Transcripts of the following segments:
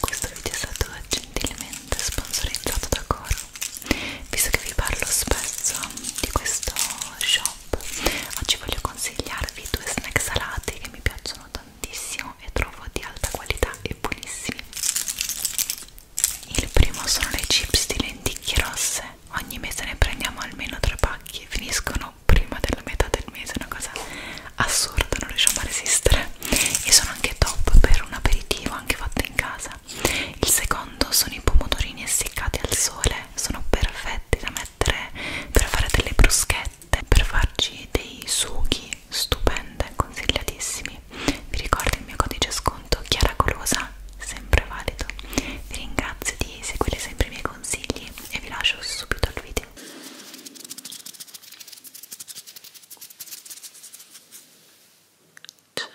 Questo video è stato gentilmente sponsorizzato da Coro. Visto che vi parlo spesso di questo shop, oggi voglio consigliarvi due snack salati che mi piacciono tantissimo e trovo di alta qualità e buonissimi. Il primo sono le chips di lenticchie rosse, ogni mese ne prendiamo almeno tre pacchi, finiscono prima della metà del mese, una cosa assurda, non riusciamo a resistere e sono anche top per un aperitivo anche fatto in casa. Il secondo sono i pomodorini essiccati al sole, sono perfetti da mettere per fare delle bruschette, per farci dei sughi stupende, consigliatissimi. Vi ricordo il mio codice sconto conto Chiara Colosa, sempre valido. Vi ringrazio di seguire sempre i miei consigli e vi lascio subito al video. Ciao.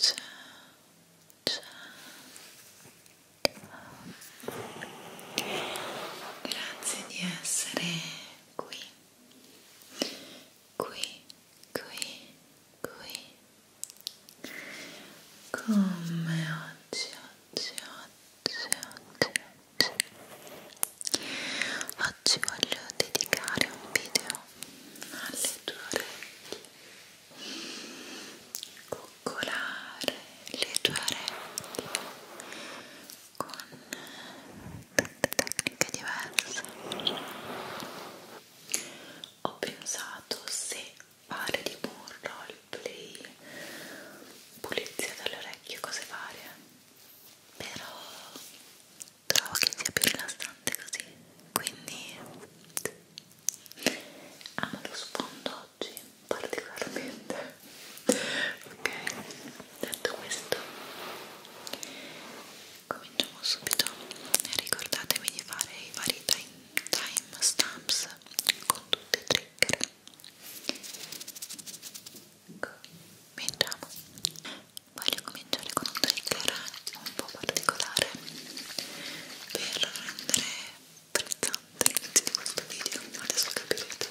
Ciao. Ciao. Grazie di essere qui qui, qui, qui come oggi, oggi, oggi, oggi, oggi oggi voglio dedicare un video alle tue orecchie coccolare le tue orecchie con tante tecniche diverse ho pensato se fare tipo un roleplay pulizia delle orecchie cose varie però trovo che sia più rilassante così quindi amo lo sfondo oggi particolarmente ok detto questo cominciamo subito ricordatevi di fare i vari timestamps time con tutti i trigger ecco, cominciamo voglio cominciare con un trigger un po' particolare per rendere frizzante l'inizio di questo video adesso capirete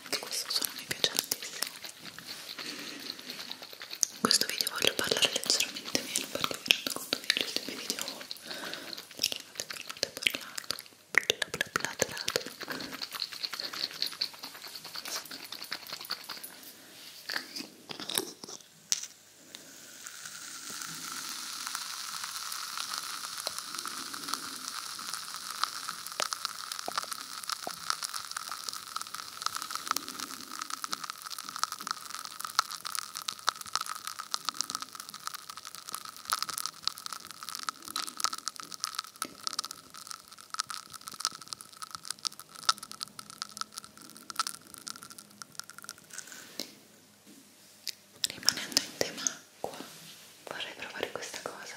anche questo suono mi piace tantissimo in questo video voglio parlare leggermente meno perché mi rendo conto che negli ultimi video ho parlato, parlato, parlato bla bla bla trato Ecco Rimanendo in tema acqua vorrei provare questa cosa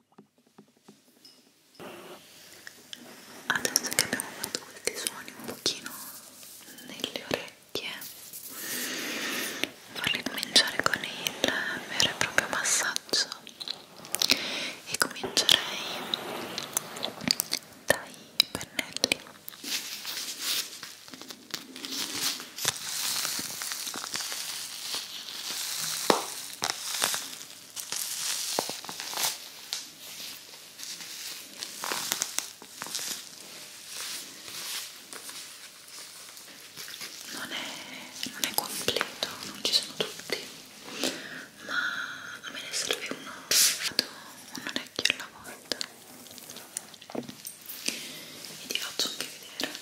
adesso che abbiamo fatto questi suoni un pochino nelle orecchie vorrei cominciare con il vero e proprio massaggio e comincerei dai pennelli non è, non è completo, non ci sono tutti, ma a me ne serve uno, vado un orecchio alla volta e ti faccio anche vedere.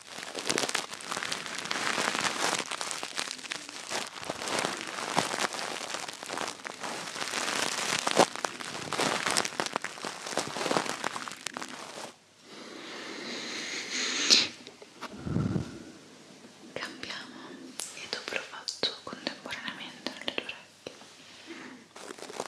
Cambiamo e dopo lo faccio contemporaneamente nelle tue orecchie.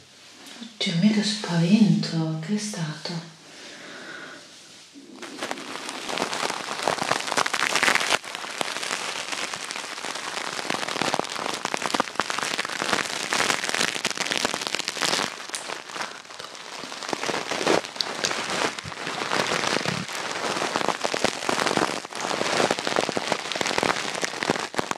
Oddio, mica spavento, che è stato?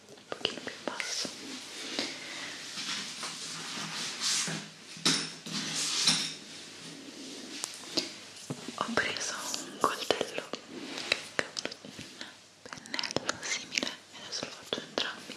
un pochino più basso ho preso un coltello che un pennello simile e adesso lo faccio entrambi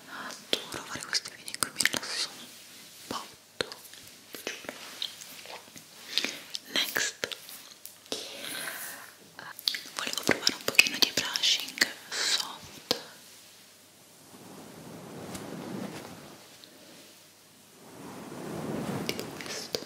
adoro fare questi video in cui mi rilasso un botto giuro next volevo provare un pochino di brushing soft tipo questo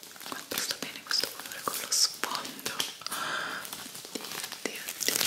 quanto sta bene questo colore con lo sfondo oddio, oddio, oddio. Ecco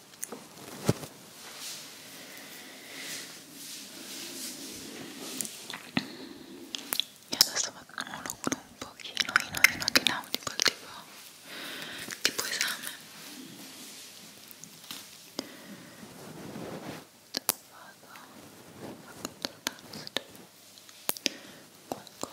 Io adesso vado un pochino in oino che nautical tipo, tipo esame vado a controllare se c'è qualcosa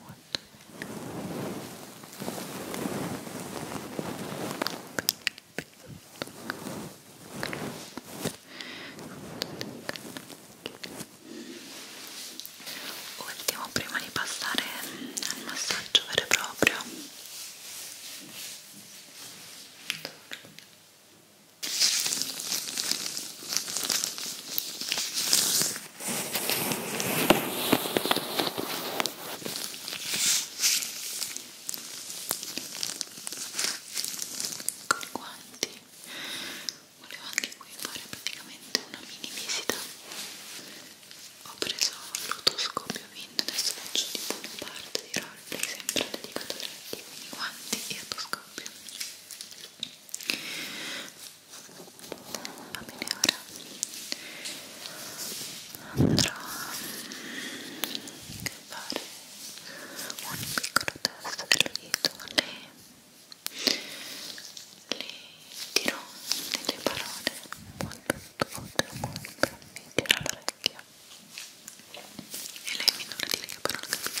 molto Ultimo prima di passare al massaggio vero e proprio. Con i guanti volevo anche qui fare praticamente una mini visita. Ho preso l'otoscopio vinto, adesso faccio tipo una parte di roleplay sempre dedicata a letti, quindi guanti e otoscopio va bene ora andrò a fare un piccolo test dell'udito le, le dirò delle parole molto molto molto vicino all'orecchio e lei mi dovrà dire che parola capite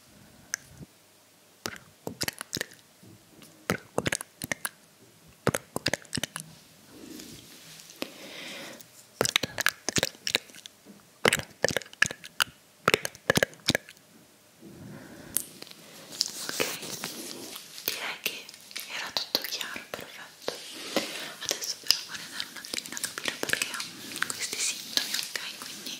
procurare, procurare, procurare ok direi che era tutto chiaro perfetto adesso però vorrei andare un attimino a capire perché ha questi sintomi ok quindi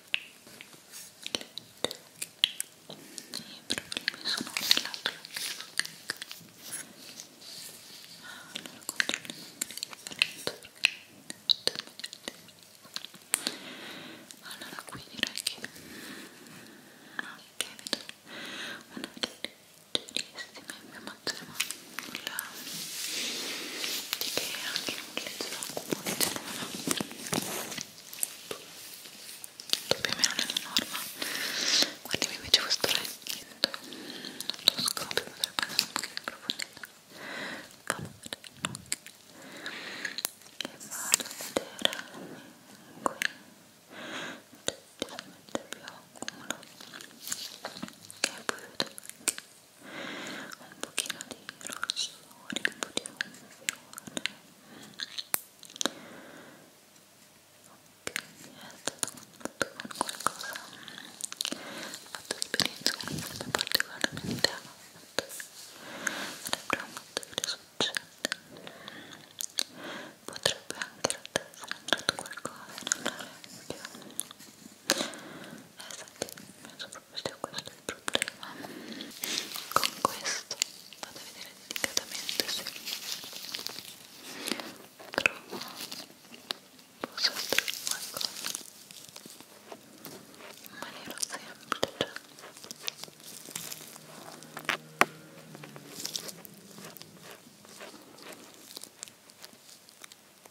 problemi sono dell'altro allora controlliamo allora qui direi che mm, ok vedo una leggerissima infiammazione la che anche in un letto comune c'è la notte più o meno nella norma guardiamo invece questo letto lo scopro potrebbe andare un pochino approfondito calore che vado a vedere qui leggermente più a che poi vedo che un pochino di rossore, un po' di confusione ok, è stato fatto con qualcosa ho fatto esperienza con qualcosa particolarmente avanti sarebbe molto che succede potrebbe anche in realtà essere entrato qualcosa in un orecchio esatto, penso proprio sia questo il problema con questo vado a vedere delicatamente se trovo posso estrarre qualcosa in maniera semplice ok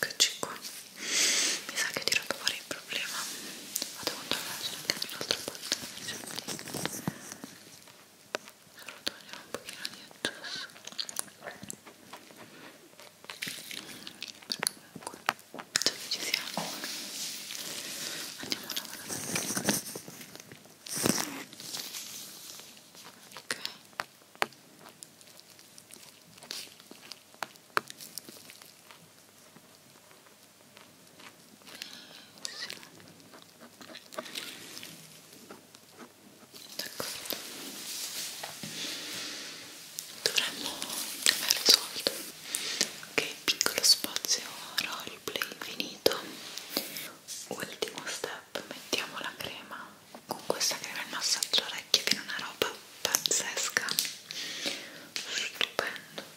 Eccoci qua. Mi sa che ho tirato fuori il problema. Vado a controllare anche dall'altra parte. Solo togliere un pochino di addosso. Comunque, già che ci siamo, andiamo a lavorare. Ok. Dovremmo aver risolto che piccolo spazio roleplay finito. Ultimo step poi mettiamo la crema con questa crema il massaggio orecchie viene una roba pazzesca stupendo Pronto.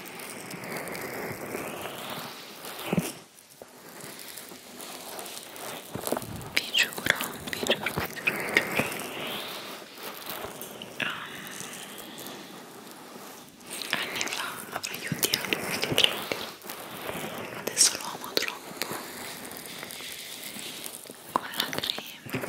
vi giuro, vi giuro, vi giuro, vi giuro. Um, anni fa avrei odiato questo trigger adesso lo amo troppo con la crema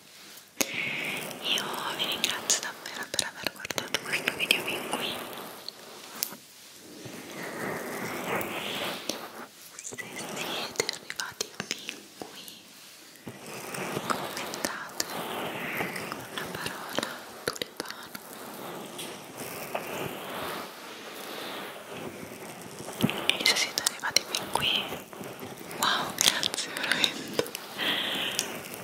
io vi ringrazio davvero per aver guardato questo video fin qui se siete arrivati fin qui commentate con la parola tulipano e se siete arrivati fin qui wow grazie veramente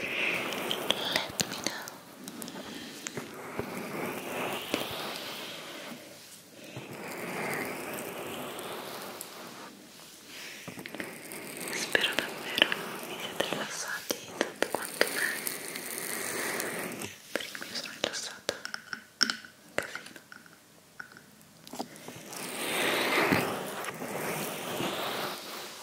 Let me know. Spero davvero vi siete rilassati tanto quanto me. Perché mi sono rilassata un casino. Spero